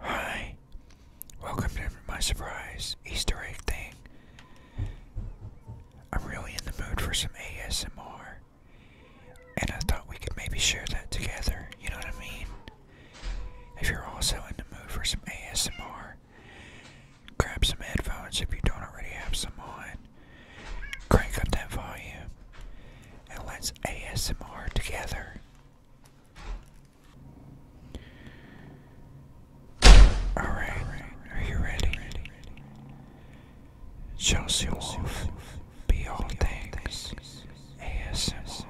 Hi, welcome to my surprise Easter egg thing. I'm really in the mood for some ASMR, and I thought we could maybe share that together, you know what I mean? If you're also in the mood for some ASMR, grab some headphones if you don't already have some on, crank up that volume, and let's ASMR together. Alright, are you ready? Chelsea Wolf, be all things ASMR.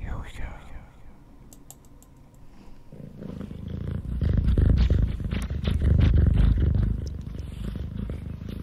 Here we go.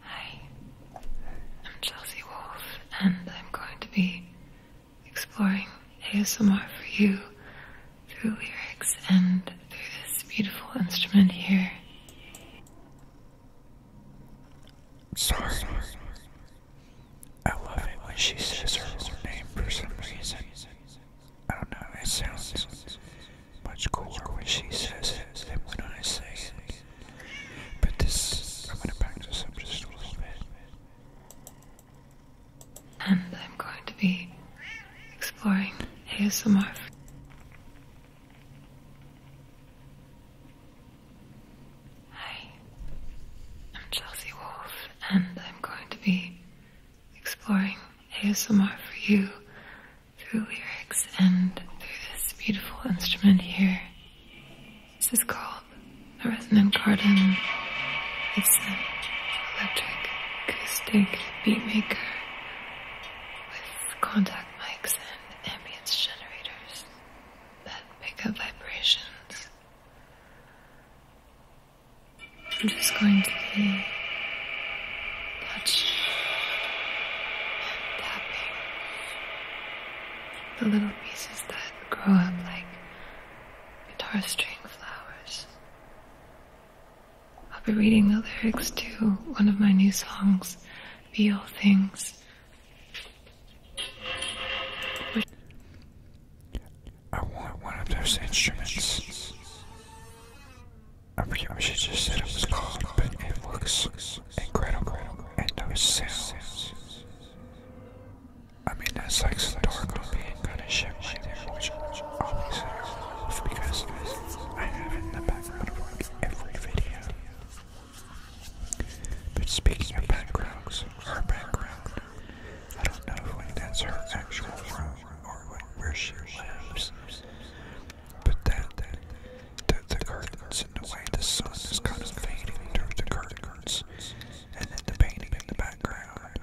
Hi, I'm Chelsea Wolfe, and I'm going to be exploring ASMR for you through lyrics and through this beautiful instrument here. Sorry. I love it when she says her name for some reason. I don't know, it sounds much cooler when she says it than when I say it. But this, I'm gonna back And I'm going to be exploring ASMR Hi, I'm Chelsea Wolfe, and I'm going to be exploring ASMR for you through lyrics and through this beautiful instrument here. This is called the resonant garden. It's an electric acoustic beat maker with contact mics ambience generators that pick up vibrations. I'm just going to be touching and tapping the little pieces that grow up like guitar string flowers. I'll be reading the lyrics to one of my new songs, Be All Things. I want one of those instruments. I should just said it was called, but it looks incredible, and those sounds. I mean, that's like some dark kind of shit always have because I have in the background every video. But speaking backgrounds, her background, I don't know when that's her actual room or where she lives. But that, the curtains and the way the sun is kind of fading through the curtains, and then the painting in the background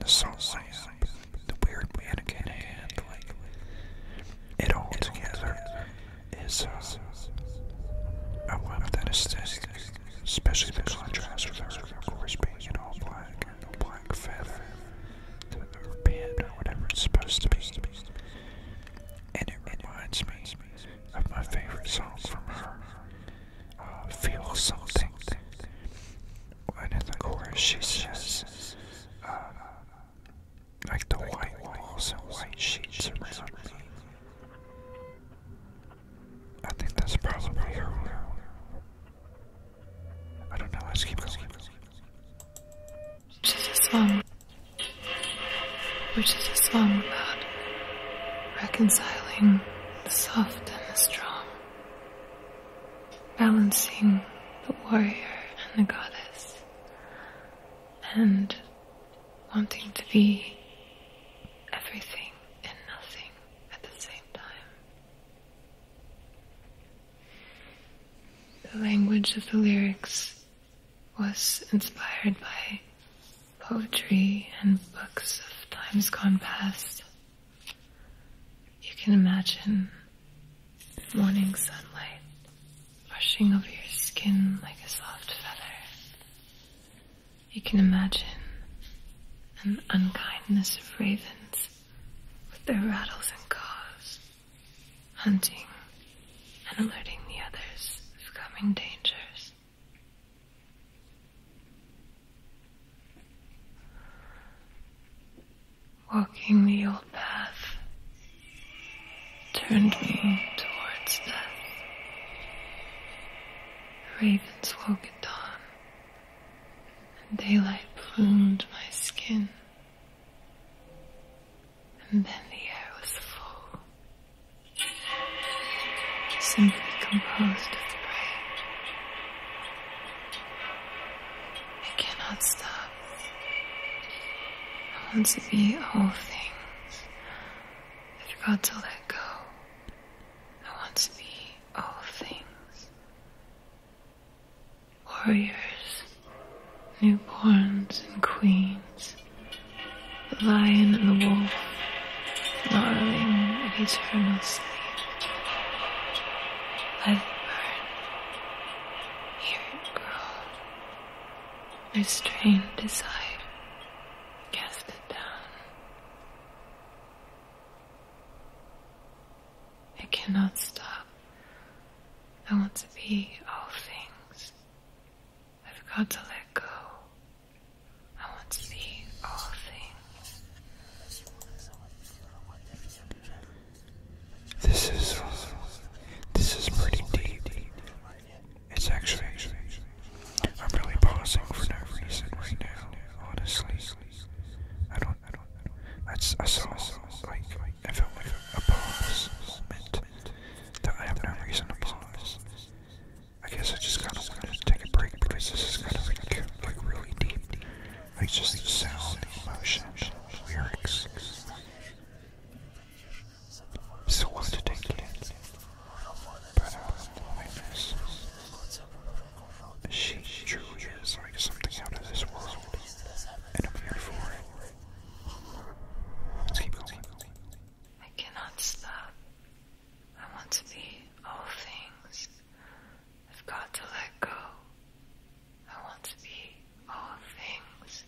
the salt lamp, the weird mannequin hand, like it all together is uh, uh a weapon aesthetic, especially the contrast with her, of course, being in all black and the black feather, the or pin or whatever it's supposed to be. And it reminds me of my favorite song from her, uh, Feel Something and in uh, the chorus like the white walls and white sheets around me. I think that's probably her. I don't know, let keep Which is a song. Which is a song about reconciling the soft and the strong balancing the warrior and the goddess and wanting to be everything and nothing at the same time. The language of the lyrics was inspired by poetry and books of times gone past. You can imagine morning sunlight brushing over your skin like a soft feather. You can imagine the unkindness of ravens with their rattles and caws, hunting and alerting the others of coming dangers. Walking the old path turned me towards death. Ravens woke at dawn, and daylight plumed my skin, and then the air was full simply composed of pride. It cannot stop. I want to be all things. I got to let go. I want to be all things. Warriors, newborns, and queens. The lion and the wolf, not knowing if each other will sleep. Let it burn, hear it grow. Restrain, desire, cast it down. It cannot stop. I want to be all things. I've got to let go. I want to see all things. This is this is pretty deep. It's actually I'm really pausing for no reason right now. Honestly, I don't. I saw like I felt like a, pause moment I have no reason to pause. I guess I just kind of want to take a break because this is kind of like, like really deep. Like just sound, emotion, lyrics. So wanted to take it in. But uh, loneliness. She truly is like something out of this world. And I'm here for it. I cannot stop. I want to be all things. I've got to let go. I want to be all things.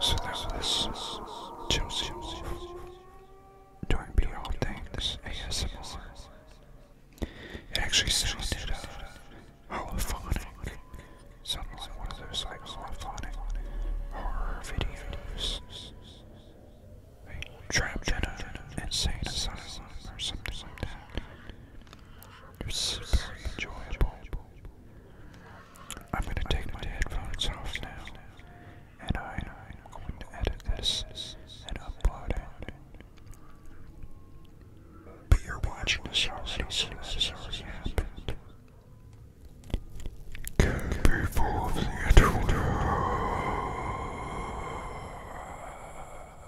So that was Chelsea doing Beyond Things ASMR. It actually sounded uh, Sounded like one of those like holophonic horror videos. Like trapped in an insane asylum or something like that. I'm gonna take my headphones off now, and I'm going to edit this and upload it. But you're watching this already, so this has already of the internet?